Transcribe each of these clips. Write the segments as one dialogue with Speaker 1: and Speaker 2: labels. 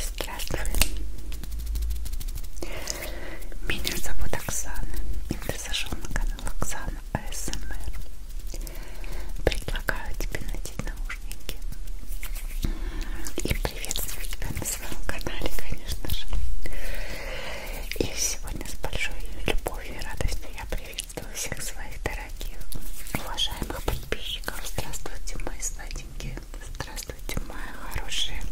Speaker 1: Здравствуй. Меня зовут Оксана, и ты зашел на канал Оксана АСМР. Предлагаю тебе надеть наушники и приветствую тебя на своем канале, конечно же. И сегодня с большой любовью и радостью я приветствую всех своих дорогих, уважаемых подписчиков. Здравствуйте, мои сладенькие Здравствуйте, мои хорошие.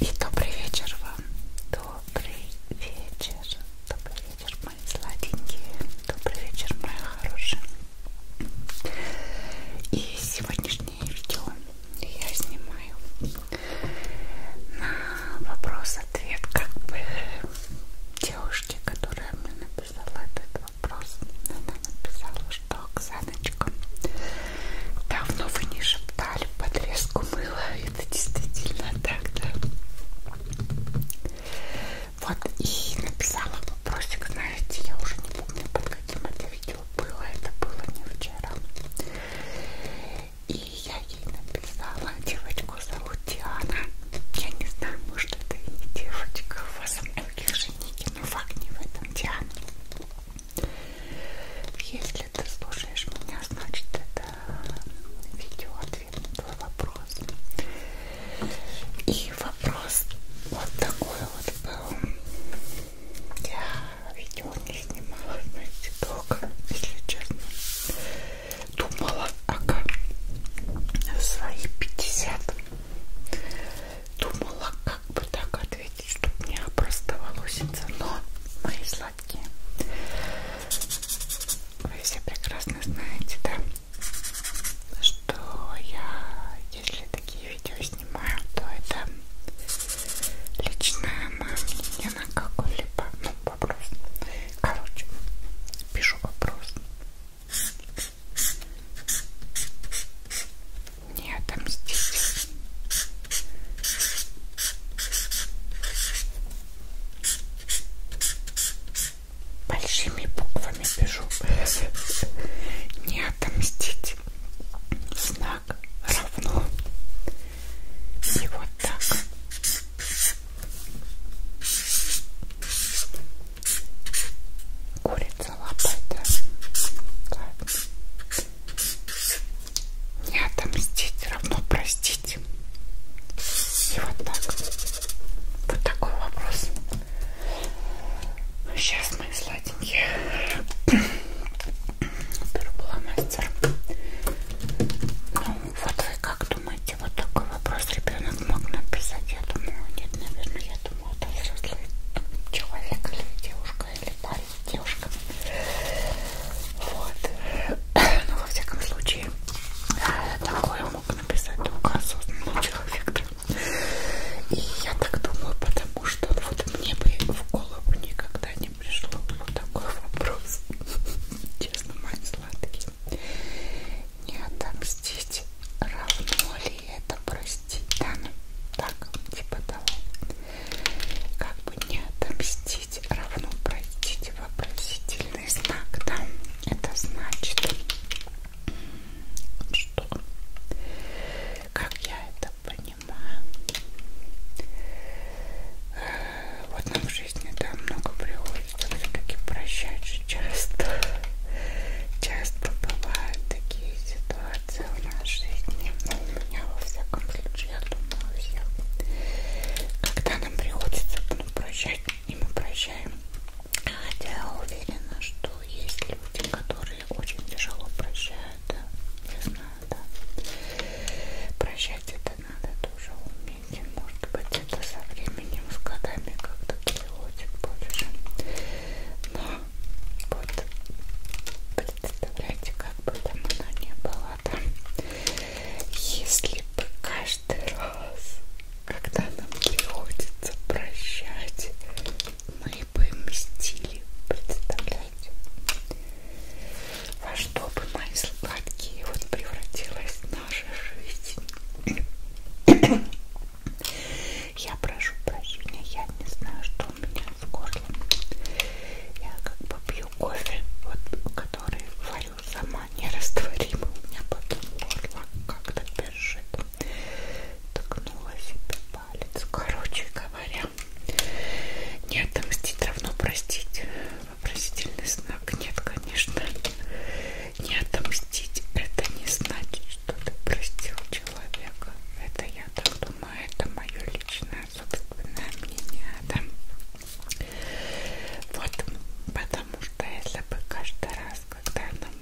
Speaker 1: И добрый вечер вам. Добрый вечер. Добрый вечер, мои сладенькие. Добрый вечер, мои хорошие. И сегодняшнее видео я снимаю на вопрос-ответ как бы девушки, которая мне написала этот вопрос. Она написала, что Оксаночка, давно вы не шептали подрезку мыла. Это действительно так, да? Вот и написала вопросик, знаете, я уже не помню, под каким это видео было, это было не вчера. И я ей написала, девочку зовут Диана. Я не знаю, может это и не девочка, у вас у многих же не ошибки, но факт не в этом, Диана. Если ты слушаешь меня, значит это видео ответ на твой вопрос. И вопрос вот такой вот был. Я видео не снимала, знаете, долго, если честно. Думала, ага, свои 50 Думала, как бы так ответить, чтобы не опростоволоситься, но мои сладкие. Вы все прекрасно знаете, да, что я, если такие видео снимаю, то это личное мое мнение на какой-либо ну, вопрос. Короче, пишу вопрос не отомстить. Большими буквами пишу. Не отомстить. Знак равно. И вот так. Курица лопата. Как? Не отомстить, равно простить. И вот так. Вот такой вопрос. Сейчас мы сладенькие. Беру мастер. Ну, вот вы как думаете, вот такой вопрос ребенок мог написать? Я думаю, нет, наверное, я думаю почему это взрослый человек или девушка, или парень, девушка. Вот. Но ну, во всяком случае, э, такое мог написать только осознанный человек. И я так думаю, потому что ну, вот мне бы в голову никогда не пришло вот такой вопрос. Честно, мои сладкие не отомстить равно ли это простить да ну так типа того как бы не отомстить равно простить вопросительный знак да это значит что как я это понимаю э, вот нам в жизни да много приходится все-таки прощать очень часто, часто бывают такие ситуации в нашей жизни, ну, у меня во всяком случае, я думаю, у всех, когда нам приходится ну, прощать, и мы прощаем, хотя я уверена, что есть люди, которые очень тяжело прощают, да, я знаю, да, прощать это надо тоже уметь, может быть, это со временем, с годами как-то приходит больше но вот представляете, как бы там она не была там, если бы каждый раз, когда нам приходится прощать, мы бы мстили, представляете? Во что бы мои сладкие вот превратилась наша жизнь? Я прошу прощения, я не знаю, что у меня с горлом. Я как бы пью кофе, вот, который варю сама, нерастворимый. У меня потом горло как-то першит. Ткнула себе палец. Короче говоря, не отомстить равно простить. Вопросительный знак. Нет, конечно. Не отомстить это не значит, что ты простил человека. Это я так думаю, это мое личное собственное мнение, да? Вот, потому что если бы каждый раз, когда нам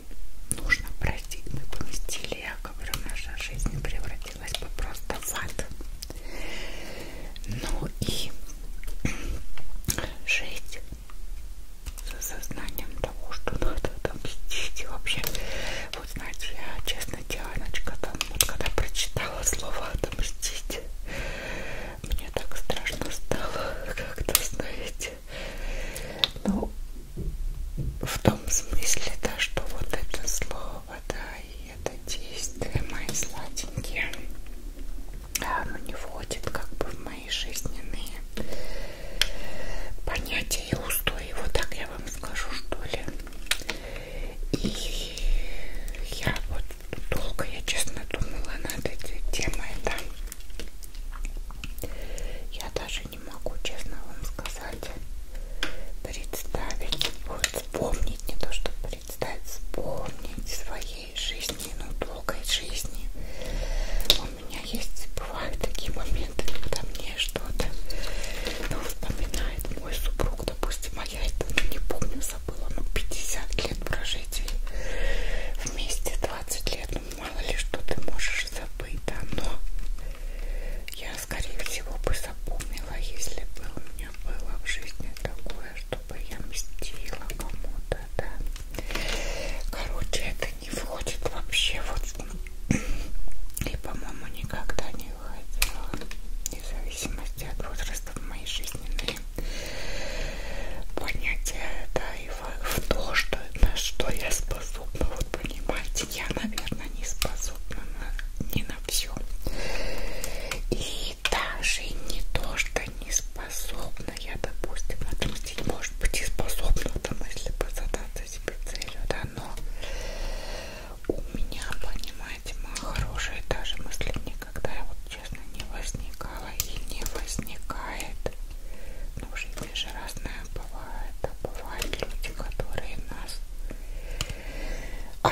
Speaker 1: нужно простить, мы поместили, я говорю, наша жизнь превратилась бы просто в ад. Ну и жить с осознанием того, что надо отомстить. И вообще, вот знаете, я, честно, Дианочка, там, вот когда прочитала слово «отомстить», мне так страшно стало, как-то, знаете, ну, в том смысле, да, что вот это слово, да, и это действие, мои сладенькие, оно не входит как бы в мои жизненные понятия и устои. Вот так я вам скажу, что ли. И я вот долго, я честно думала над этой темой. Да? Я даже не могу, честно вам сказать, представить, вот вспомнить, не то что представить, вспомнить своей жизни, ну, долгой жизни. У у меня есть, бывают такие моменты, когда мне что-то ну, вспоминает мой супруг, допустим, а я это ну, не помню, забыла, ну, 50 лет прожить вместе, 20 лет, ну, мало ли, что ты можешь забыть, да, но я, скорее всего, бы запомнила, если бы у меня было в жизни такое, чтобы я мстила кому-то, да. Короче, это не входит вообще вот и по-моему никогда не выходила вне зависимости от возраста в моей жизненные понятия да и в то что на что я способна вот понимаете я наверное не способна на, не на все и даже не то что не способна я допустим отомстить может быть и способна там если бы задаться какой-то себе целью, да, но у меня, понимаете, моя хорошая даже мысль никогда вот честно не возникала и не возникает. Ну, в жизни же разное бывает, а бывают люди, которые нас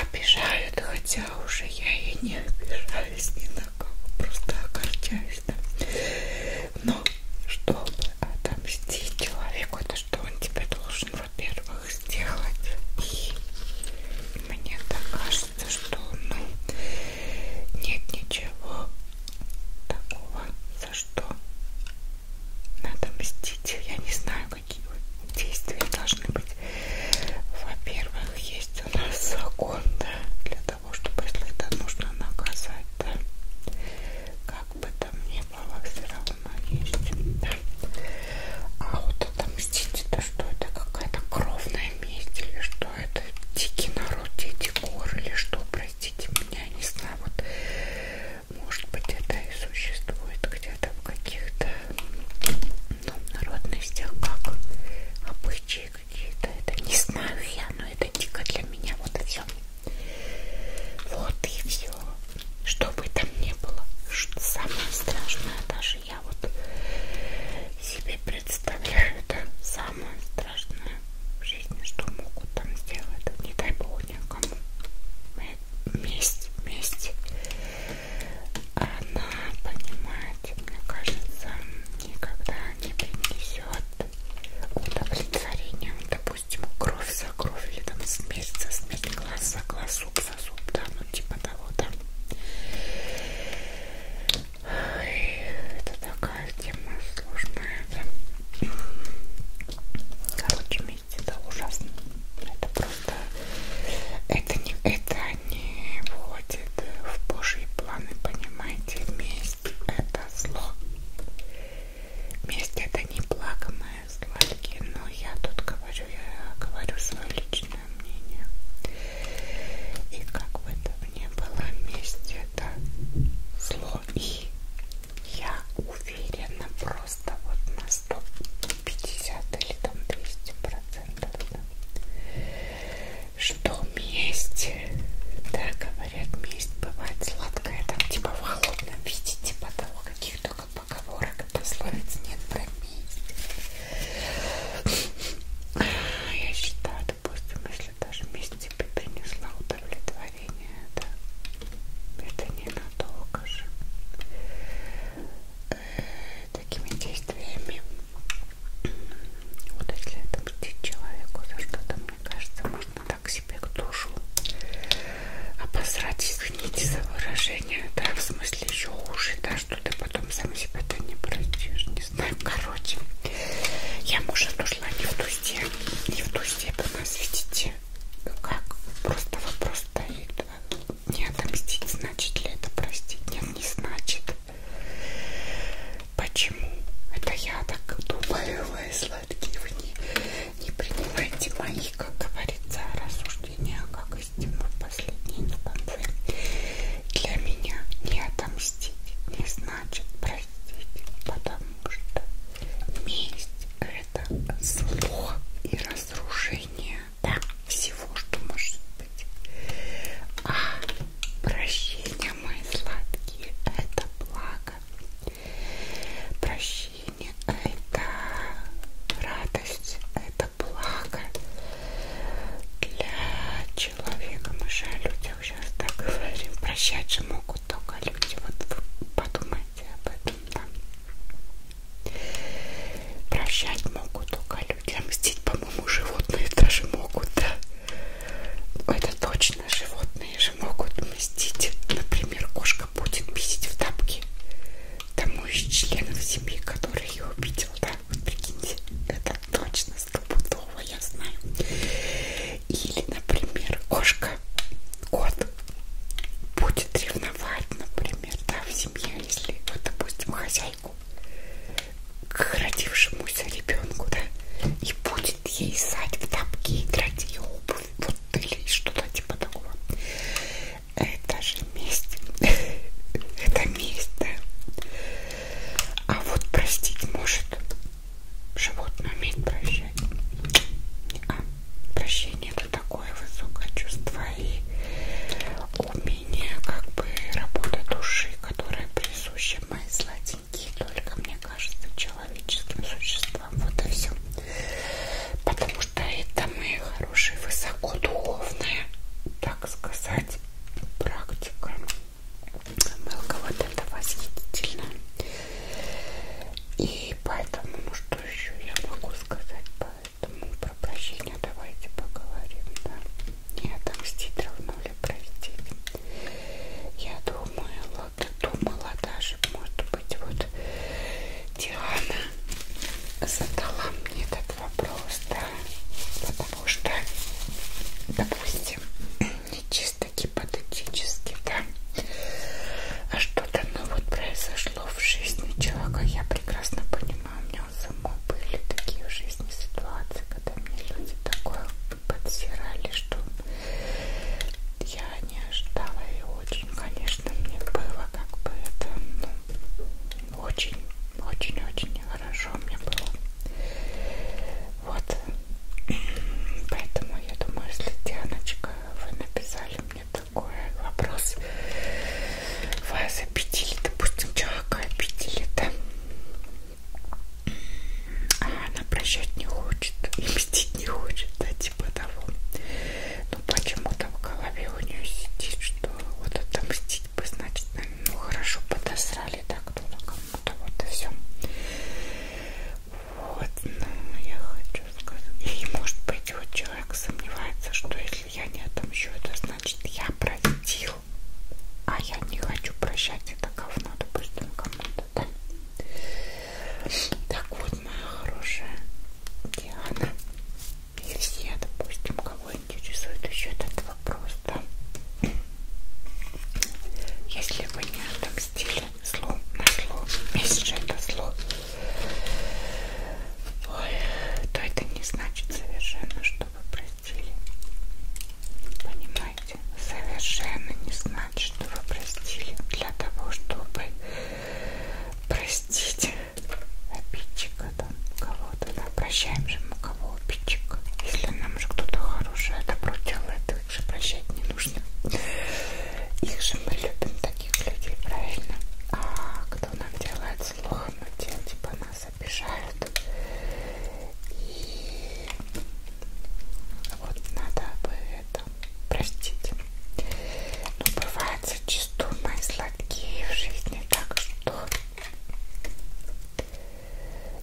Speaker 1: обижают, хотя уже я и не обижаюсь ни на кого, просто огорчаюсь, да. Но чтобы отомстить человеку, это что он тебе должен, во-первых, сделать. И мне так кажется, что ну, нет ничего такого, за что надо мстить. Я не знаю, какие действия должны быть. Во-первых, есть у нас закон, да, для того, чтобы если это нужно наказать, да, как бы там не было, все равно есть. Да. А вот это мстить, это что? Это какая-то кровная месть или что? Это дикий народ, дети гор или что? Простите меня, не знаю. Вот может быть это и существует где-то в каких-то ну, народностях, как обычаи какие-то. Это не знаю я, но это дико для меня. Вот и все. Вот и все. Что бы там ни было. Самое страшное, даже я вот себе представляю, это самое страшное в жизни, что могут там сделать. Не дай бог никому. Месть, месть. Она, понимаете, мне кажется, никогда не принесет удовлетворения, допустим, кровь за кровь, или там смесь за смесь, глаз за глаз, зуб за зуб, да, ну типа того, да. Ой, это такая тема сложная, да. Короче, вместе это ужасно. Это просто... Это не, это не входит в божьи планы, понимаете? Месть это зло месть это не плаканное сладкие, но я тут говорю, я говорю свое личное мнение. И как бы это ни было, месть это зло. И я уверена просто вот на 150 или там 200 процентов, да, что месть месть. Да, говорят, месть бывает сладкая, там типа в холодном виде, типа того, каких только поговорок и пословиц нет про месть. Я считаю, допустим, если даже месть тебе типа, принесла удовлетворение, да, это ненадолго же. Э, такими действиями вот если это человеку за что-то, мне кажется, можно так себе к душу обосрать, а извините за выражение, да, в смысле еще хуже, да, что ты потом сам себя-то не пройдешь, не знаю, короче, я, может, ушла не в ту степь, не в ту степь у нас, видите, как, просто вопрос стоит, не отомстить, значит ли это простить, нет, не значит, почему, это я так думаю, высла, сладкие, вы не, не принимайте мои, как говорится, рассуждения, а как из Тимур последний не концы. Для меня не отомстить не значит простить, потому что месть это зло и разрушение да, всего, что может быть. А прощение, мои сладкие, это благо. Прощение – это радость, это благо для человека. Мы же о людях сейчас так говорим. Прощать же могут только люди. Вот подумайте об этом, да. Прощать могут только люди. А мстить, по-моему, животные даже могут, да. Это точно животные же также могут мстить. Например, кошка будет бесить в тапке тому из членов семьи, который ее обидел. Да, вот прикиньте, это точно стопудово, я знаю. Или, например, кошка, кот будет ревновать, например, да, в семье, если, вот, допустим, хозяйку к родившемуся ребенку, да, и будет ей сать в тапки и драть ее обувь вот или что-то типа такого. Это же месть. Это месть, да. А вот простить может. Животное умеет прощать. А прощение это такое высокое чувство и умение как бы работа души, которая присуща моей злате маленькие только, мне кажется, человеческим существам. Вот и все. Потому что это мои хорошие высокодуховные, так сказать, практика. Мелко вот это восхитительно. И поэтому, ну что еще я могу сказать по этому? Про прощение давайте поговорим, да? Не отомстить равно ли простить? Я думала, вот думала даже, может быть, вот Диана задала мне этот вопрос, да, потому что, допустим, не чисто гипотетически, да, а что-то, ну вот произошло в жизни человека, я прекрасно понимаю, у меня у самой были такие в жизни ситуации, когда мне люди такое подсирали, что я не ожидала и очень, конечно, мне было как бы это ну, очень, очень, очень нехорошо мне было. Вот, поэтому я думаю, если Дианочка, вы написали мне такой вопрос, вас обидели, допустим, человека обидели, да? А она прощать не хочет и мстить не хочет, да, типа того. Но ну, почему-то в голове у нее сидит, что вот отомстить бы, значит, ну хорошо, подосрали так кто-то кому-то, вот и все. Вот, ну, я хочу сказать. И, может быть, вот человек сомневается, что если я не отомщу, это значит, я простил. А я не хочу прощать это говно, допустим, кому-то, да? Так вот, моя хорошая Диана и все, допустим, кого интересует еще этот вопрос, да? Если вы не отомстили зло на зло, если же это зло, ой, то это не значит совершенно, что вы простили. Понимаете? Совершенно не значит что вы простили, для того, чтобы простить обидчика там кого-то. Да, прощаем же мы кого обидчика. Если нам же кто-то хорошее а добро делает, то их же прощать не нужно. Их же мы любим, таких людей, правильно? А кто нам делает зло, мы ну, те, типа нас обижают. И вот надо бы это простить. Но ну, бывает зачастую мои сладкие в жизни так, что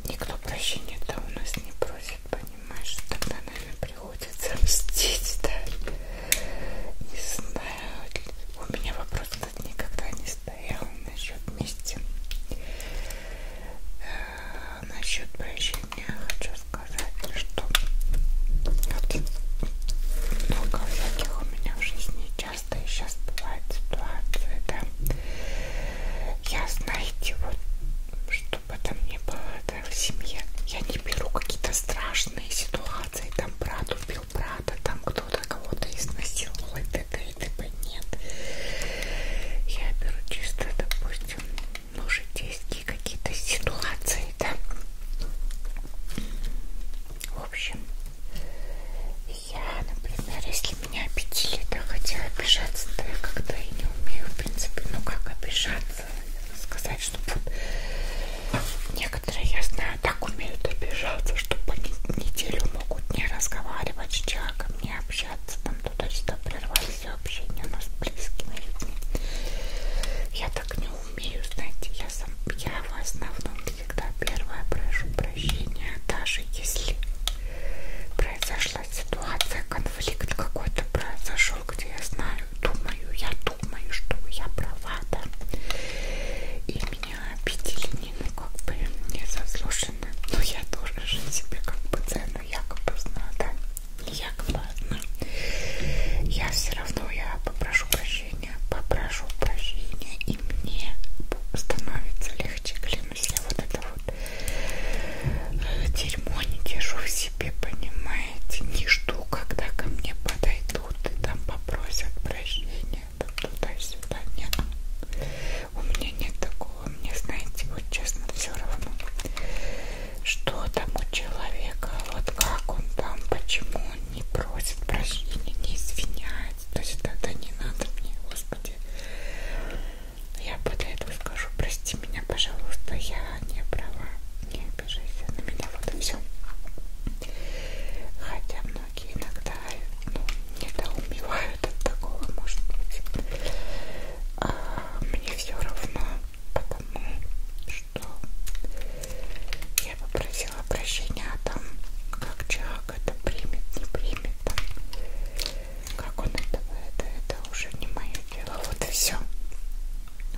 Speaker 1: никто прощения-то у нас не просит, понимаешь? Тогда, наверное, приходится мстить, да? Не знаю. У меня вопрос, кстати, никогда не стоял насчет мести. Э, насчет прощения хочу сказать, что много всяких у меня в жизни часто и сейчас бывает ситуация, да. Я, знаете, вот чтобы там не было да, в семье, я не беру какие-то страшные ситуации, там брат убил брата, там кто-то кого-то изнасиловал и т.д. и т.п. Нет. Я беру чисто, допустим, ну, житейские какие-то ситуации, да. В общем, я, например, если меня обидели, да, хотя обижаться, да, я когда и не умею, в принципе, ну как обижаться, сказать, что вот некоторые, я знаю, так умеют обижаться, что по неделю могут не разговаривать с человеком, не общаться, там туда-сюда прервать все общение у нас с близкими людьми. Я так не умею, знаете, я, сам, я в основном всегда первая прошу прощения, даже если произошла ситуация, конфликт какой-то произошел, где я знаю, думаю, я думаю, что я права, да, и меня обидели, не, ну, как бы, незаслуженно, но я тоже же себе как бы цену якобы знаю, да. Як ладно. Я все равно я попрошу прощения, попрошу прощения, и мне становится легче, клянусь. Я вот это вот э, дерьмо не держу в себе, понимаете? Не жду, когда ко мне подойдут и там попросят прощения, там туда-сюда. Нет, у меня нет такого. Мне, знаете, вот честно, все равно что там у человека, вот как он там, почему он не просит прощения, не извиняется. То есть тогда не надо мне, Господи. Я после этого скажу, прости меня, пожалуйста, я не права, не обижайся на меня, вот и все. Хотя многие иногда ну, недоумевают от такого, может быть. А мне все равно потому что я попросила прощения, а там как человек это примет, не примет, там, как он это, это, это уже не мое дело, вот и все.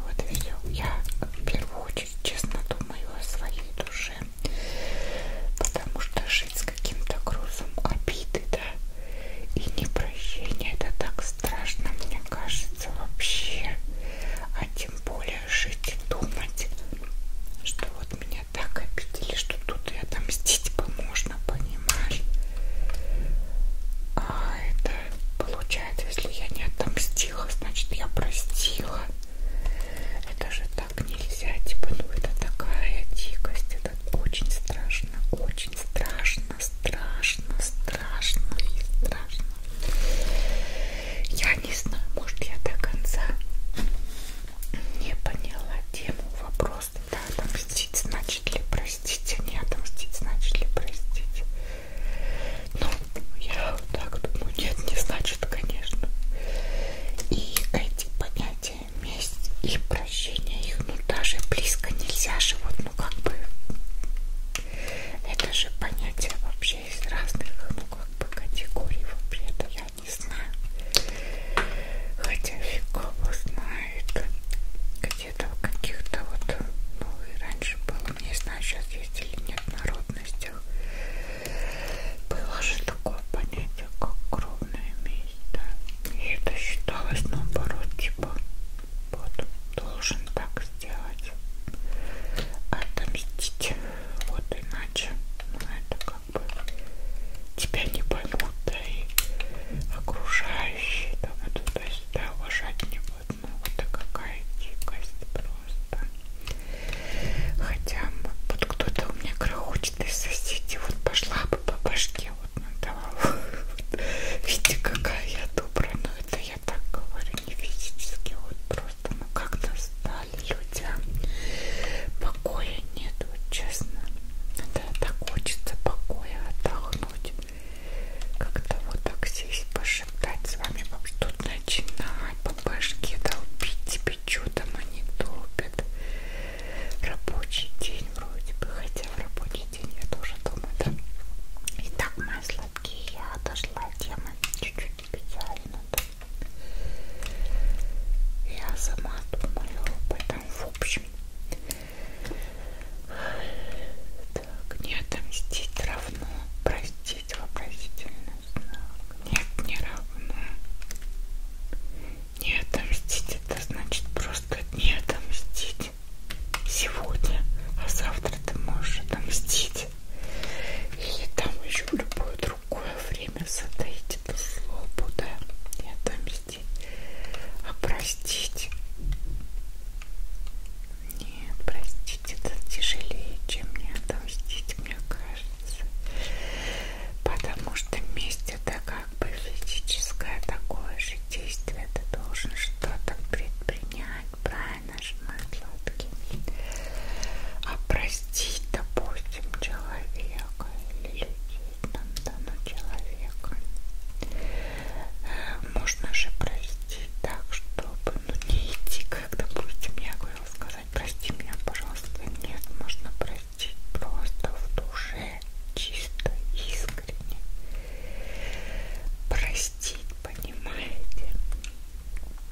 Speaker 1: Вот и все. Я в первую очередь честно думаю о своей душе, потому что жить с каким-то грузом обиды, да, и непрощения, это так страшно, мне кажется хочется вообще, а тем более жить и думать, что вот меня так обидели, что тут и отомстить бы можно, понимаешь? А это получается, если я не отомстила, значит я простила. Это же так нельзя, типа, ну это такая дикость, это очень страшно, очень очень страшно, страшно, страшно и страшно. Я не знаю, может я до конца не поняла тему вопроса. Да, отомстить значит ли простить, а не отомстить значит ли простить. Ну, я вот так думаю, нет, не значит, конечно. И эти понятия месть и прощение их, ну даже близко нельзя же, вот, ну как бы это же понятие вообще из разных, ну как бы категорий вообще-то я не знаю. Хотя фиг его знает. Где-то в каких-то вот, ну и раньше было, не знаю, сейчас есть или нет народностях. Было же такое понятие, как кровная месть, да. И это считалось наоборот, типа вот, должен так сделать. Отомстить. Вот иначе. Ну, это как бы тебя не поймут, да и окружающие там и туда-сюда уважать не будут. Ну, это какая дикость просто. Хотя вот кто-то у меня крохочет из соседей. Вот пошла бы по башке, вот надавала. Видите, какая я добра, но ну, это это я так говорю не физически, вот просто ну как-то стали людям покоя нет, вот честно. Да, так хочется покоя отдохнуть. Как-то вот так сесть, пошептать с вами, тут начинать, по башке долбить тебе чудом а они долбят. Рабочий день вроде бы, хотя в рабочий день я тоже думаю, да. И так мои сладкие, я отошла от темы чуть-чуть специально. Я сама думаю об этом в общем. Так, не отомстить равно простить вопросительный знак. Нет, не равно. Не отомстить это значит просто не отомстить отомстить сегодня, а завтра ты можешь отомстить. Или там еще в любое другое время затаить эту злобу, да, и отомстить. А простить? Нет, простить это тяжелее, чем не отомстить, мне кажется. Потому что месть это как бы физическое такое же действие. Ты должен что-то предпринять понять правильно же мои сладкие а простить допустим человека или людей там ну, дано ну, человека э, можно же простить так чтобы ну не идти как допустим я говорила сказать прости меня пожалуйста нет можно простить просто в душе чисто искренне простить, понимаете?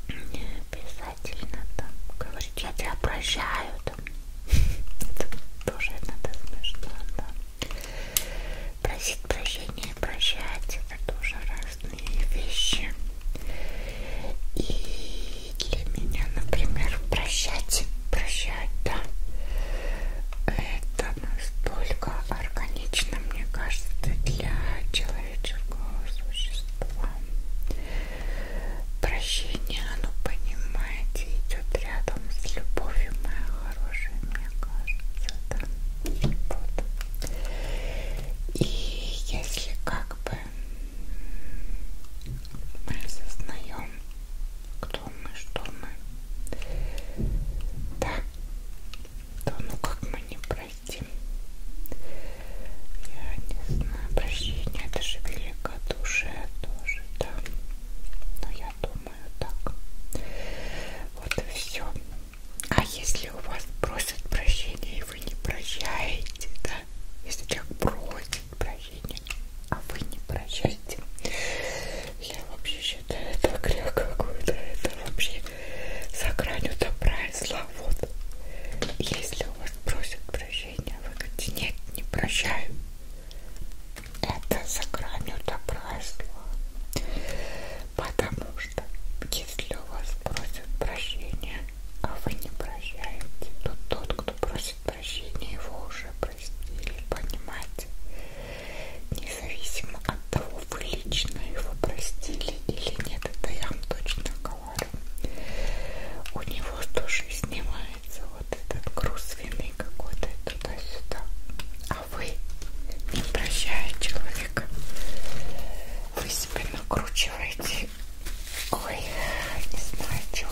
Speaker 1: Не обязательно там говорить, я тебя прощаю там. Это тоже надо смешно, да. Просить прощения и прощать это тоже разные вещи. И для меня, например, прощать, прощать, да. Это настолько органично, мне кажется, для человеческого существа. Прощение, оно, понимаете, идет рядом с любовью, моя хорошая, мне кажется, да. Вот. И если как бы мы осознаем, кто мы, что мы, да, да ну как мы не простим? Я не знаю, прощение, это же великодушие тоже, да. Но я думаю так. Вот и все. А если у вас просят прощения и вы не прощаете, да? Если человек просит прощения, а вы не прощаете, я вообще считаю, это грех какой-то. Это вообще за гранью добра и зла. Вот. Если у вас просят прощения, вы говорите, нет, не прощаю. Это за гранью добра и зла. Потому что, если у вас просят прощения, а вы не прощаете, то тот, кто просит прощения, его уже простили, понимаете? Независимо от того, вы лично его простили или нет, это я вам точно говорю. У него тоже снимается вот этот груз вины какой-то туда-сюда. А вы, не прощая человека, вы себя накручиваете. Ой, не знаю чего.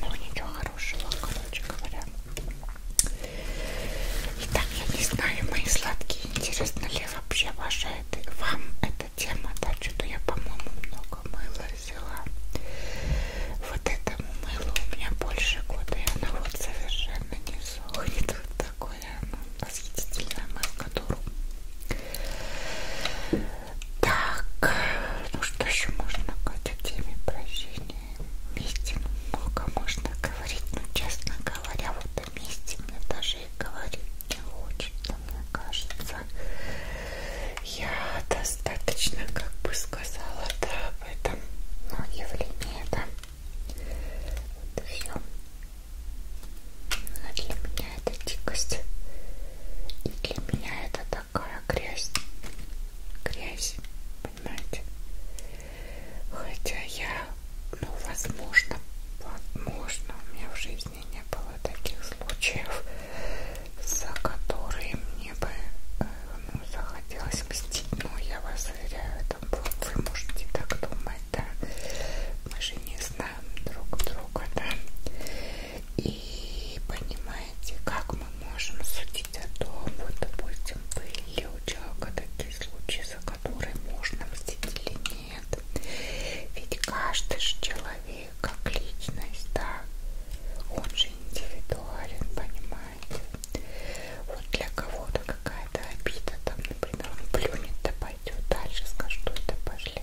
Speaker 1: Ну ничего хорошего, короче говоря. Итак, я не знаю, мои сладкие, интересно ли вообще ваша это, вам эта тема, да, что-то я, по-моему, много мыла взяла. Вот этому мылу у меня больше года, и оно вот совершенно не сухнет. Вот такое оно, восхитительное мыло, которую... Так, ну что еще можно к этой теме прощения месте много можно говорить, но, честно говоря, вот о месте мне даже и говорить не хочется, мне кажется. Я достаточно, как бы сказала, да, об этом, но ну, явление, да. Вот и все. Но а для меня это дикость. И для меня это такая грязь. Грязь понимаете? Хотя я, ну, возможно, возможно, у меня в жизни не было таких случаев, за которые мне бы э, ну, захотелось мстить, но я вас уверяю, это было. вы можете так думать, да, мы же не знаем друг друга, да, и понимаете, как мы можем судить о том, вот, допустим, вы человека такие случаи, за которые можно мстить или нет. Ведь каждый же человек, как личность, да, он же индивидуален, понимаете. Вот для кого-то какая-то обида, там, например, он плюнет, да пойдет дальше, скажет, что это пошли,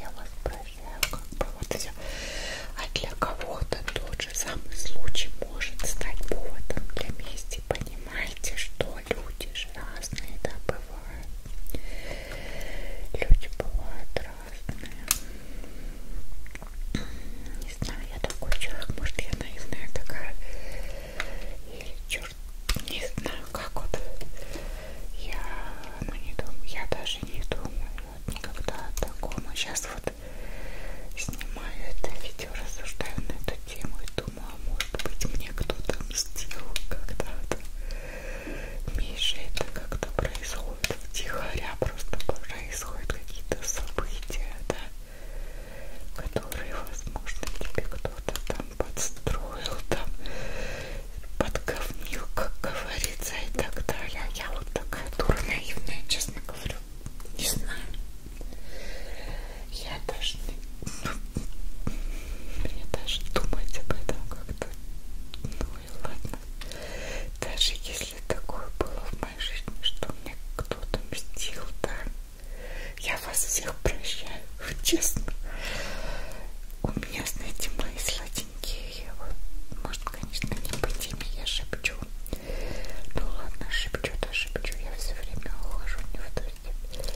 Speaker 1: я вас прощаю, как бы вот все. А для кого-то тот тот же самый случай может стать поводом для мести. Понимаете, что люди же разные, да, бывают. Люди бывают разные. Не знаю, я такой человек, может я наивная такая. Или черт, не знаю, как вот. Я, ну не думаю, я даже не думаю вот, никогда о таком. А сейчас вот снимаю это видео, рассуждаю на эту тему и думаю, а может быть мне кто-то мстил когда-то. Миша, это как-то происходит втихаря, просто происходят какие-то события, да, которые, возможно, тебе кто-то там подстроил, там подговнил, как говорится, и так далее. Я вот такая дура наивная, честно говорю, не знаю. Я даже не... Мне даже думать об этом как-то... Ну и ладно. Даже если такое было в моей жизни, что мне кто-то мстил, да, я вас всех прощаю, честно. У меня, знаете, мои сладенькие, вот, может, конечно, не по теме я шепчу, ну ладно, шепчу-то да, шепчу, я все время ухожу не в ту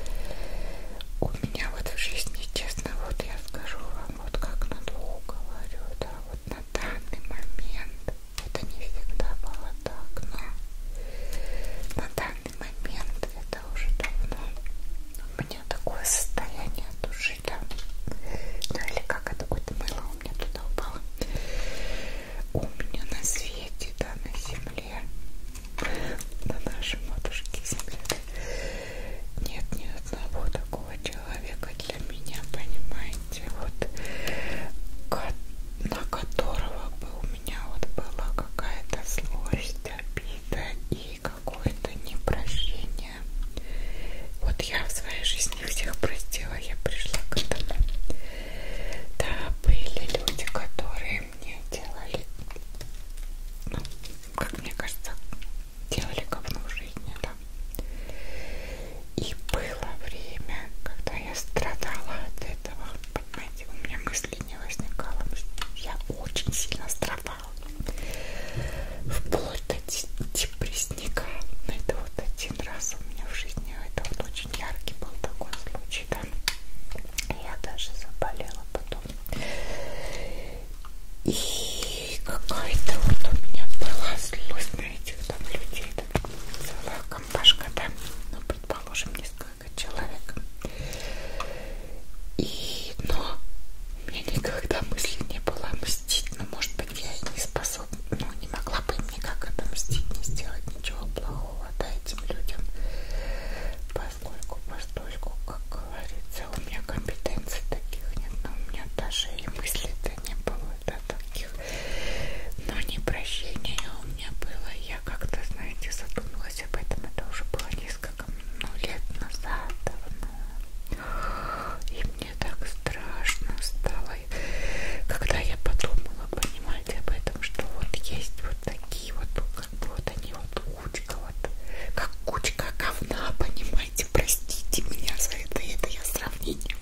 Speaker 1: У меня вот в жизни, честно, вот я скажу вам, вот как на двух говорю, да, вот на данный момент, это не всегда было так, но на данный момент, это уже давно, у меня такое состояние души, да, ну или как это, какое-то мыло у меня туда упало у меня на свете, да, на земле, на нашей матушке земле. Нет ни одного такого человека для меня, понимаете, вот на которого бы у меня вот была какая-то злость, обида и какое-то непрощение. Вот я в своей жизни всех простила, я пришла к этому да, были люди, которые мне делали, ну, как мне кажется, делали говно в жизни, да. И было время, когда я страдала от этого, понимаете, у меня мысли не возникало, я очень сильно страдала, вплоть до депрессника, это вот один раз у меня в жизни, это вот очень яркий был такой случай зайчика. Я даже заболела потом. И какая-то вот у меня была злость на этих там людей. Там целая компашка, да, ну, предположим, несколько человек. И, но у меня никогда мысли не было мстить. Но, ну, может быть, я и не способна, ну, не могла бы им никак это мстить, не сделать ничего плохого холода этим людям, поскольку, поскольку, как говорится, у меня компетенций таких нет, но у меня даже и мысли-то не было да, таких, но не прощения у меня было, я как-то, знаете, задумалась об этом, это уже было несколько ну, лет назад давно, и мне так страшно стало, головой, когда я подумала, понимаете, об этом, что вот есть вот такие вот, ну, как бы вот они вот кучка, вот как кучка говна, понимаете, простите меня за это, это я сравнение,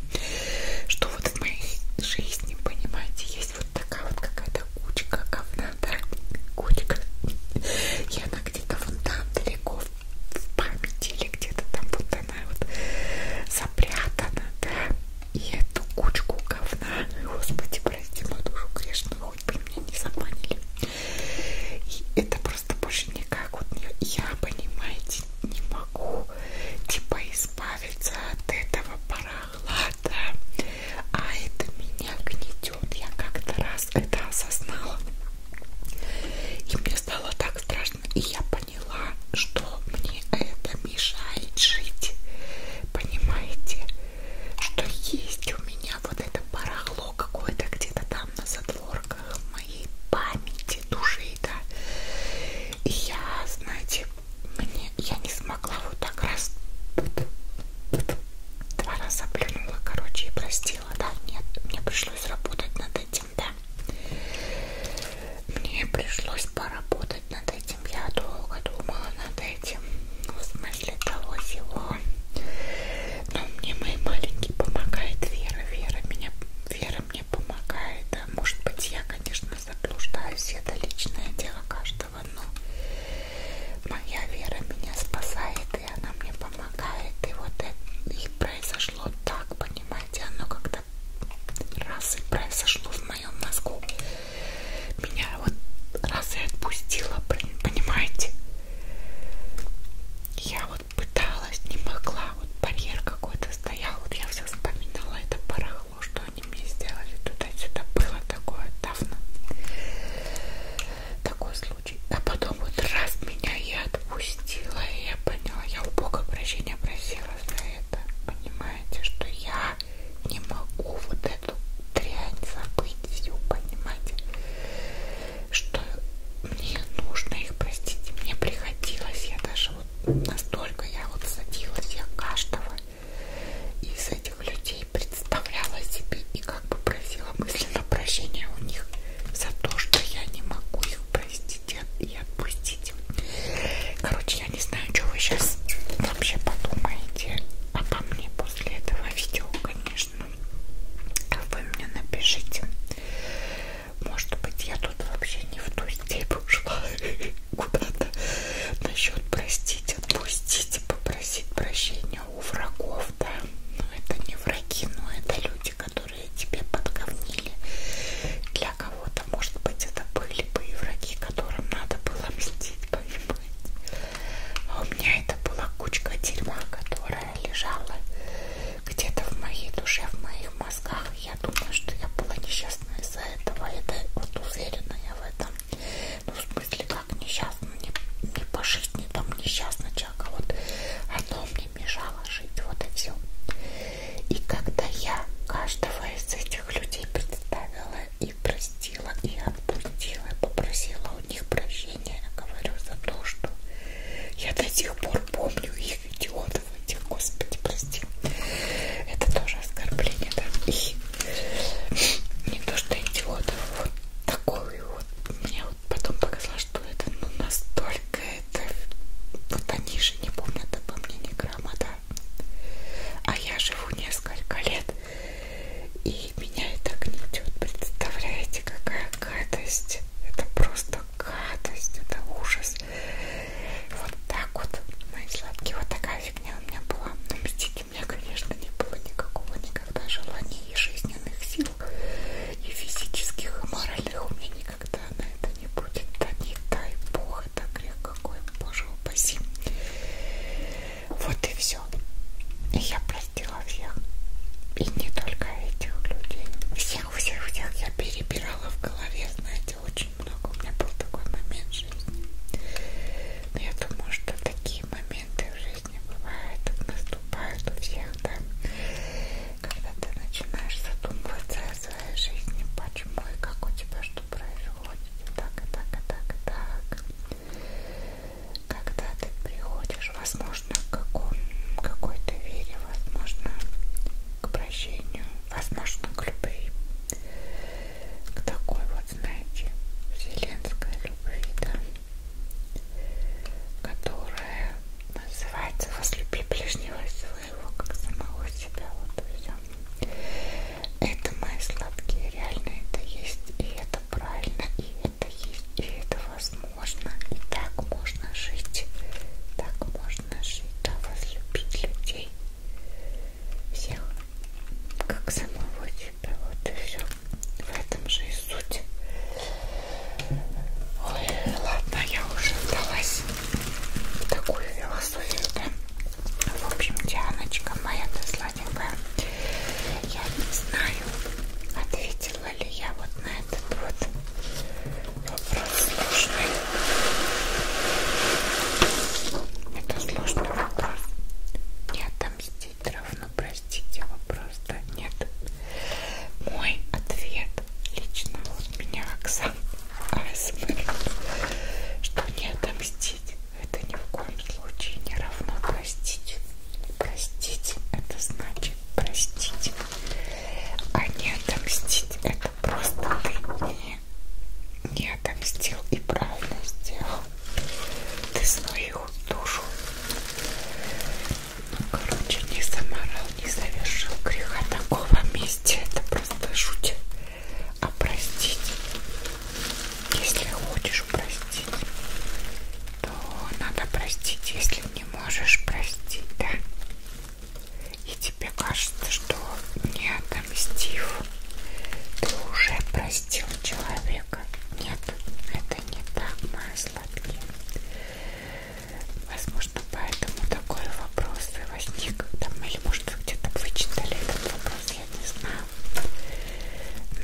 Speaker 1: что вот в моей жизни, понимаете, есть вот такая вот какая-то кучка говна, да, кучка, и она где-то вон там далеко в памяти или где-то там вот она вот запрятана, да, и эту кучку говна, господи, прости мою душу грешную, хоть бы меня не забанили. И это просто больше никак вот я, понимаете, не могу типа избавиться от этого парахлада, а это меня гнетет. Я как-то раз это осознала, и мне стало так страшно, и я поняла поняла, что мне это мешает жить. Понимаете, что есть у меня вот это барахло какое-то где-то там на задворках моей памяти, души, да. И я, знаете, мне я не смогла вот так раз два раза плюнула, короче, и простила, да, нет, мне пришлось работать над этим, да. Мне пришлось поработать над этим этим я долго думала над этим, ну, в смысле того всего. Но мне мой маленький помогает Вера, Вера меня, Вера мне помогает. Да, может быть, я, конечно, заблуждаюсь, это личное дело каждого, но моя Вера меня спасает, и она мне помогает. И вот это и произошло так, понимаете, оно когда раз и произошло в моем мозгу. Меня вот раз и отпустило, блин, понимаете? Я вот пыталась, не могла, вот барьер какой-то стоял, вот я все вспоминала это барахло, что они мне сделали туда-сюда, было такое давно, такой случай. А потом вот раз меня и отпустила, и я поняла, я у Бога прощения просила за это, понимаете, что я не могу вот эту дрянь забыть, всю, понимаете, что мне нужно их простить. Мне приходилось, я даже вот настолько я вот садилась, я каждого из этих людей представляла себе и как бы просила мысленно прощения у них за то, что я не могу их простить и отпустить хотите. Короче, я не знаю, что вы сейчас вообще подумаете обо мне после этого видео, конечно. А вы мне напишите. Может быть, я тут вообще не в ту степь ушла куда-то. Насчет простить, отпустить, попросить прощения у врагов, да. Но это не враги, но это люди, которые тебе подговнили. Для кого кого-то, а может быть, это были бы и враги, которым надо было мстить, понимаете. А у меня это была кучка дерьма, которая лежала где-то в моей душе, в моих мозгах. Я думаю, что я была несчастна из-за этого. Это вот уверена я в этом. Ну, в смысле, как несчастна, не, не пожить, не там несчастна человека. Вот оно мне мешало жить, вот и все. И когда я каждого из этих людей представила и простила, и отпустила, и попросила у них прощения. Я говорю за то, что я до сих пор помню их идиотов, этих, господи, прости. Это тоже оскорбление, да? И не то, что идиотов, вот такой вот. Мне вот потом показалось, что это ну, настолько это... Вот они же не помнят обо мне ни грамма, да? А я живу несколько лет, и меня это гнетет. Представляете, какая гадость. Это просто гадость, это ужас. Вот так вот, мои сладкие, вот такая фигня у меня была. Но мстить у меня, конечно, не было никакого никогда желания и жизненных сил, и физических, и моральных у меня никогда на это не будет. Да не дай бог, какой-то грех, какой, боже упаси. Вот и все. И я простила всех. И не только этих людей. Всех, всех, всех я перебирала в голове, знаете, очень много. У меня был такой момент в жизни. Но я думаю, что такие моменты в жизни бывают, наступают у всех, да. Когда ты начинаешь задумываться о своей жизни, почему и как у тебя что произошло приходит так и так и так и так. Когда ты приходишь, возможно, к какому, какой-то вере, возможно, к прощению, возможно, к любви, к такой вот, знаете, вселенской любви, да, которая называется возлюби ближнего своего, как самого себя, вот и все. Это мои сладкие, реально это есть, и это правильно, и это есть, и это возможно, и так можно жить, так можно жить, да, возлюбить людей, всех, как самого тебя, вот и все, в этом же и суть. Ой, ладно, я уже вдалась в такую философию, да? В общем, Дианочка моя-то сладенькая, я не знаю, ответила ли я вот на этот вот вопрос сложный. Это сложный вопрос. Не отомстить равно простить его просто нет. Мой ответ лично у меня Оксан АСМР, что не отомстить простить это ни в коем случае не равно простить. Простить это значит простить, а не отомстить это просто ты не, не отомстил и правильно сделал. Ты свою душу, ну, короче, не заморал, не совершил греха такого месте. Это просто жуть. А простить, если хочешь простить, то надо простить, если не можешь простить, да? И тебе кажется, что не отомстив, ты уже простил человека. Нет, это не так, мои сладкие. Возможно, поэтому такой вопрос и возник. Там, или, может, вы где-то вычитали этот вопрос я не знаю.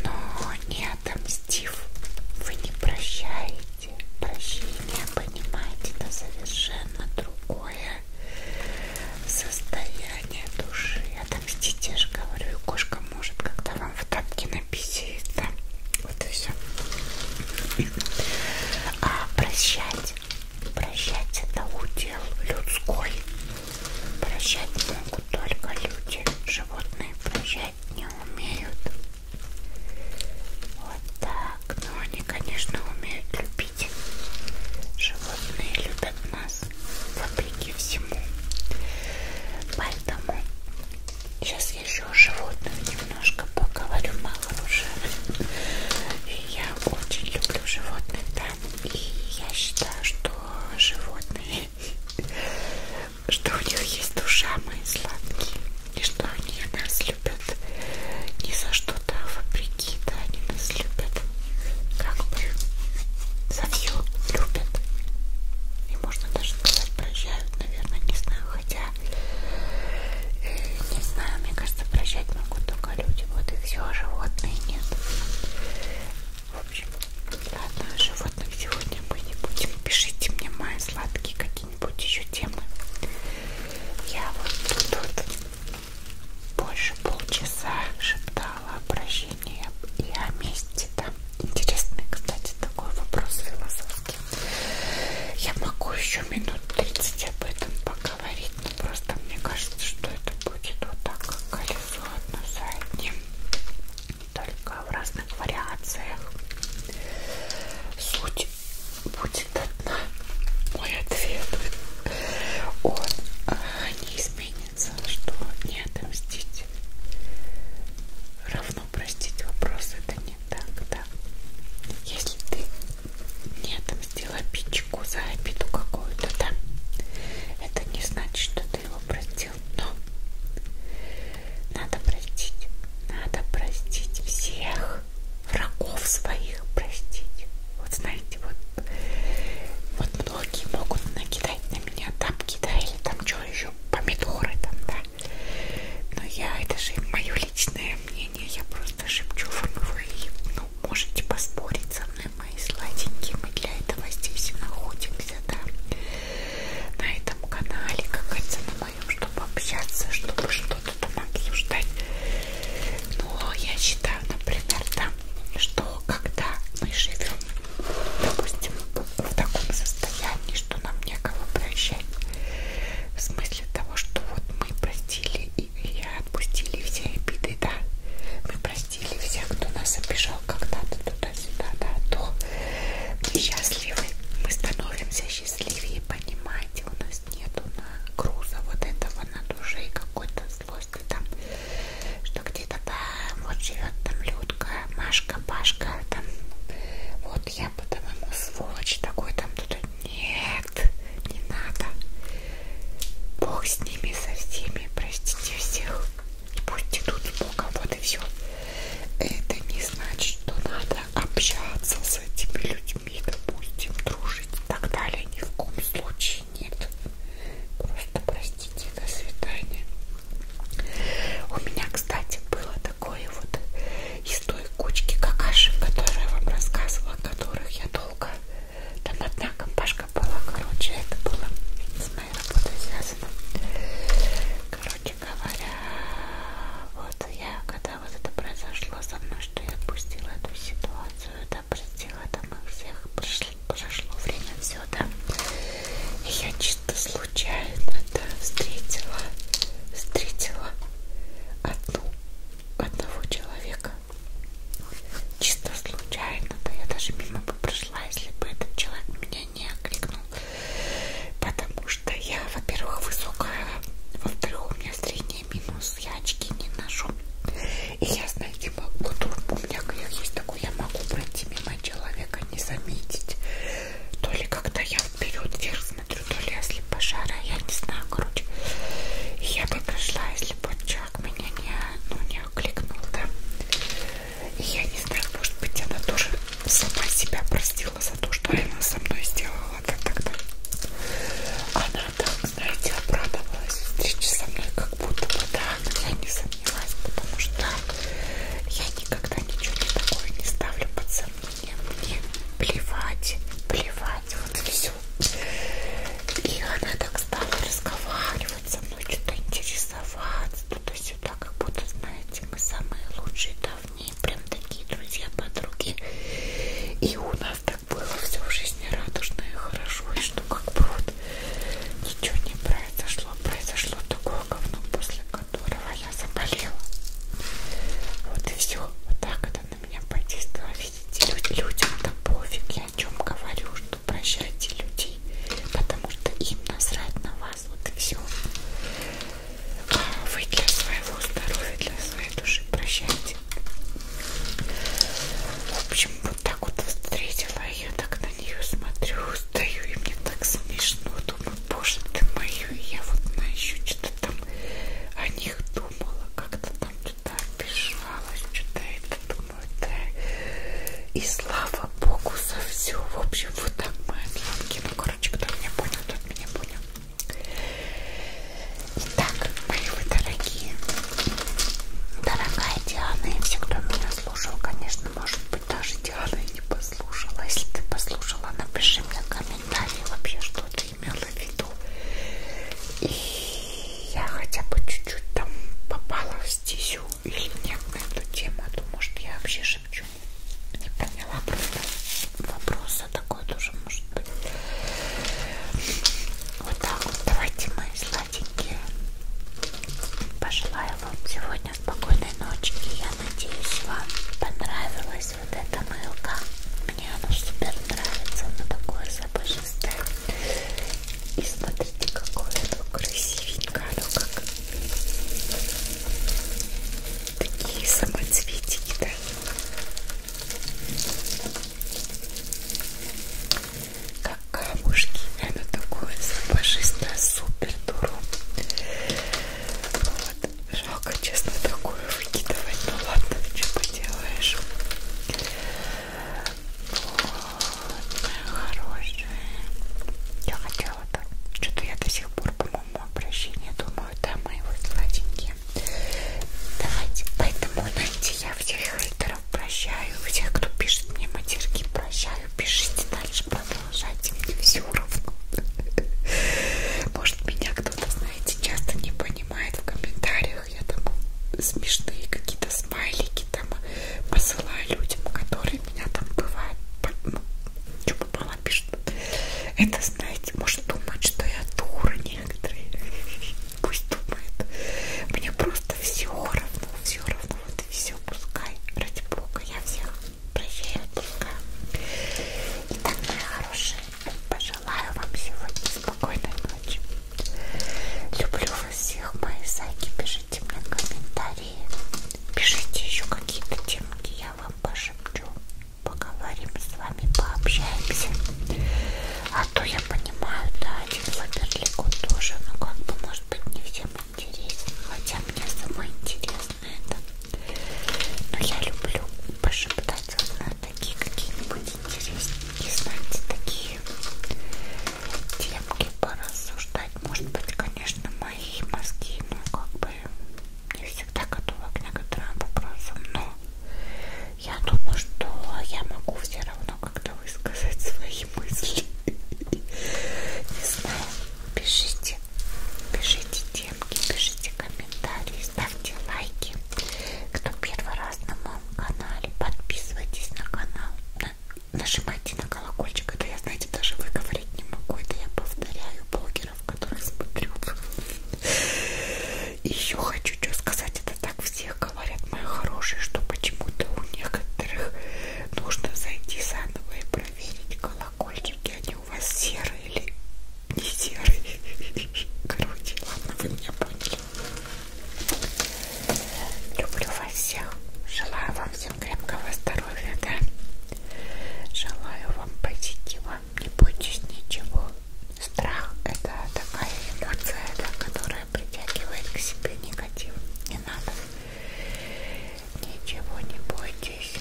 Speaker 1: Но не отомстив, вы не прощаете. Прощение, понимаете, это совершенно другое состояние души. Отомстите, я же говорю, и кошка может, когда вам в тапке написит, да? Вот и все. А прощать Прощать это удел людской. Прощать могут только люди. Животные прощать не умеют. Вот так. Но они, конечно, умеют любить. Животные любят нас вопреки всему. Поэтому сейчас я еще о животных немножко поговорю, мало уже. И я очень люблю животных, да, и я считаю, что животные, что у них есть душа, мои сладкие, и что они нас любят не за что-то вопреки, да, они нас любят как бы за все любят. И можно даже сказать, прощают, наверное, не знаю, хотя, э, не знаю, мне кажется, прощать могу только только люди, вот и все, а животные нет. В общем, ладно, о животных сегодня мы не будем. Пишите мне мои сладкие какие-нибудь еще темы. Я вот тут вот больше полчаса шептала обращение и о месте там. Интересный, кстати, такой вопрос философский. Я могу еще минут 30 об этом поговорить, Просто мне кажется, что это будет вот так, как колесо одно за одним, только в разных вариациях. Суть будет одна. Мой ответ. Он а, не изменится, что не отомстить. Равно простить вопрос. Это не так, да. Если ты не отомстишь, отомстила Пичику за обиду какую-то, да? Это не значит, что ты его простил, но надо простить, надо простить всех врагов своих, простить. Вот знаете, вот, вот многие могут накидать на меня тапки, да, или там что еще, помидоры там, да. Но я, это же мое личное мнение, я просто шепчу формулы и ну, можете поспорить со мной, мои сладенькие. Мы для этого здесь и находимся, да? На этом канале, как говорится, на моем, чтобы общаться, чтобы что-то там обсуждать. Но я считаю, например, да, что когда мы живем, допустим, в таком состоянии, что нам некого прощать, в смысле того, что вот мы простили и, и отпустили все обиды, да, мы простили простили всех, кто нас обижал когда-то туда-сюда, да, а то мы счастливы, мы становимся счастливее, понимаете, у нас нету на груза вот этого на душе и какой-то злости там, что где-то там вот живет там Людка, Машка, Пашка, там, вот я по-твоему сволочь такой там, тут нет, не надо. Бог с ними, со всеми, простите всех. И пусть идут с Богом, вот и все. Это не значит, что надо общаться с этими людьми, допустим, дружить и так далее. Ни в коем случае нет. Просто простите, до свидания. У меня, кстати, было такое вот из той кучки какашек, которые я вам рассказывала, о которых я долго там одна компашка была, короче, это было с моей работой связано. Короче говоря, вот я, когда вот это произошло со мной, что я отпустила эту ситуацию, да, простила там их всех, прошло, прошло время, все, да. И я чисто случайно, да, встретила, встретила одну, одного человека, чисто случайно, да я даже мимо бы прошла, если бы этот человек меня не окликнул, потому что я, во-первых, высокая, во-вторых, у меня зрение минус, я очки не ношу, и я, знаете, могу, у меня грех есть такой, я могу пройти мимо человека, не заметить, то ли когда я вперед вверх смотрю, то ли я слепошара, я не знаю, короче, я бы прошла, если бы человек меня не, ну, не меня кликнула, да? И я не знаю, может быть, она тоже сама себя простила за то, что она со мной сделала так тогда. Она так, знаете, обрадовалась встрече со мной, как будто бы, да, но я не сомневаюсь, потому что я никогда ничего не такое не ставлю под сомнение. Мне плевать, плевать, вот и все. И она так стала разговаривать вот со мной что-то интересоваться, ну, туда-сюда, как будто, знаете, мы самые лучшие, давние, прям такие друзья, подруги. И у нас так было все в жизни радужно и хорошо, и что как бы вот ничего не произошло, произошло такое говно, после которого я заболела. Вот и все. Вот так это на меня подействовало. Видите, людям-то пофиг, я о чем говорю, что минуту прощайте людей, потому что им насрать на вас, вот и все. А вы для своего здоровья, для своей души прощайте. В общем, вот так вот встретила, я так на нее смотрю, стою, и мне так смешно, думаю, боже ты мою, я вот на еще что-то там о них думала, как-то там что-то обижалась, что-то это думаю, да. И слава богу за все. В общем, вот так мы сладкие. Ну, короче, кто меня понял, тот меня понял. Итак, мои вы дорогие, дорогая Диана, и все, кто меня слушал, конечно, может быть, даже Диана и не послушала. Если ты послушала, напиши мне комментарий вообще, что ты имела в виду. И я хотя бы чуть-чуть там попала стезю или нет на эту тему, а то может я вообще шепчу. Не поняла просто вопроса, такой тоже может быть. Вот так вот, давайте мы сладенькие. Пожелаю вам сегодня спокойной ночки. Я надеюсь, вам понравилась вот эта мылка. Мне она супер нравится, она такое запашистое. И смотрите, какое оно красивенькое, оно как такие самоцветики, да? Как камушки, оно такое запашистое, супер дуру. Вот. Жалко, честно, такое выкидывать, но ну ладно, что поделаешь. Вот, хорошая. Я хотела так. Что-то я до сих пор, по-моему, обращение думаю, да, мои вот сладенькие. Давайте, поэтому, знаете, я всех хейтеров прощаю, всех, кто пишет мне матерки, прощаю, пишите дальше, продолжайте, мне все равно. Может, меня кто-то, знаете, часто не понимает в комментариях, которых я там смешные какие-то смайлики там посылаю людям, которые меня там бывают, ну, что попало пишут. Это, знаете, может думать, что я дура некоторые. Пусть думает. Мне просто все равно, все равно, вот и все, пускай. Ради бога, я всех прощаю, пускай. Итак, мои хорошие, пожелаю вам сегодня спокойной ночи. Люблю вас всех, мои зайки. Пишите мне комментарии. Пишите еще какие-то темки, я вам пошепчу. Поговорим с вами, пообщаемся. А то я понимаю, да, один Фаберлику тоже, но как бы, может быть, не всем интересен. Хотя мне самое интересное это. Но я люблю пошептать вас на такие какие-нибудь интересненькие, знаете, такие темки порассуждать. Может быть, конечно, мои мозги, но ну, как бы не всегда готова к некоторым вопросам. Но я думаю, что я могу все равно как-то высказать свои мысли. Не знаю. Пишите. Пишите темки, пишите комментарии, ставьте лайки. Кто первый раз на моем канале, подписывайтесь на канал. На нажимайте на колокольчик, это я, знаете, даже выговорить не могу, это я повторяю блогеров, которых смотрю. И еще хочу что сказать, это так все говорят, мои хорошие, что почему-то у некоторых нужно зайти заново и проверить колокольчики, они у вас серые или не серые. Короче, ладно, вы меня поняли. Люблю вас всех. Желаю вам всем крепкого здоровья, да? Желаю вам позитива. Не бойтесь ничего. Страх это такая эмоция, да, которая притягивает к себе негатив. Не надо. Ничего не бойтесь.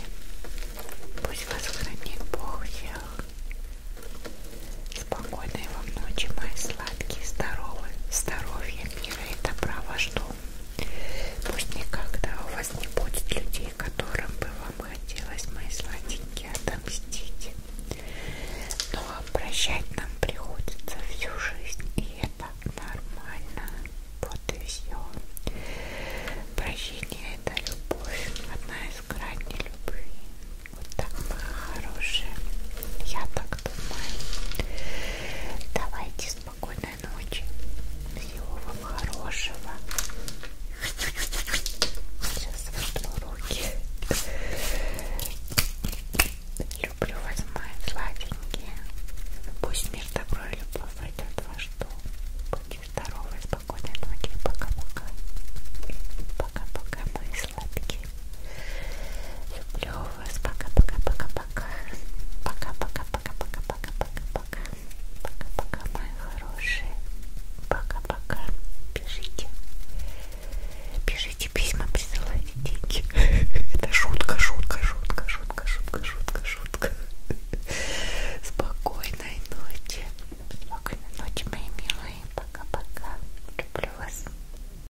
Speaker 1: Пусть вас хранит Бог всех. Спокойной вам ночи, мои сладкие, здоровые, здоровья, мира и добра во что. Пусть никогда у вас не будет людей, которым бы вам хотелось, мои сладенькие, отомстить. Но прощать нам приходится всю жизнь, и это нормально. Вот и все. Прощение это любовь, одна из граней любви. Вот так, моя хорошая. Я так думаю. Давайте спокойной ночи. Всего вам хорошего. Сейчас вотру руки. Люблю вас, мои сладенькие. Пусть мир, добро и любовь войдет в ваш дом. Будьте здоровы, спокойной ночи. Пока-пока. Пока-пока, мои сладкие. Люблю вас. Пока-пока-пока-пока. Пока-пока-пока-пока-пока-пока-пока. Пока-пока, мои хорошие. Пока-пока. Пишите. Пишите письма, присылайте деньги. Это шутка, шутка, шутка, шутка, шутка, шутка, шутка. Спокойной ночи. Спокойной ночи, мои милые. Пока-пока. Люблю вас.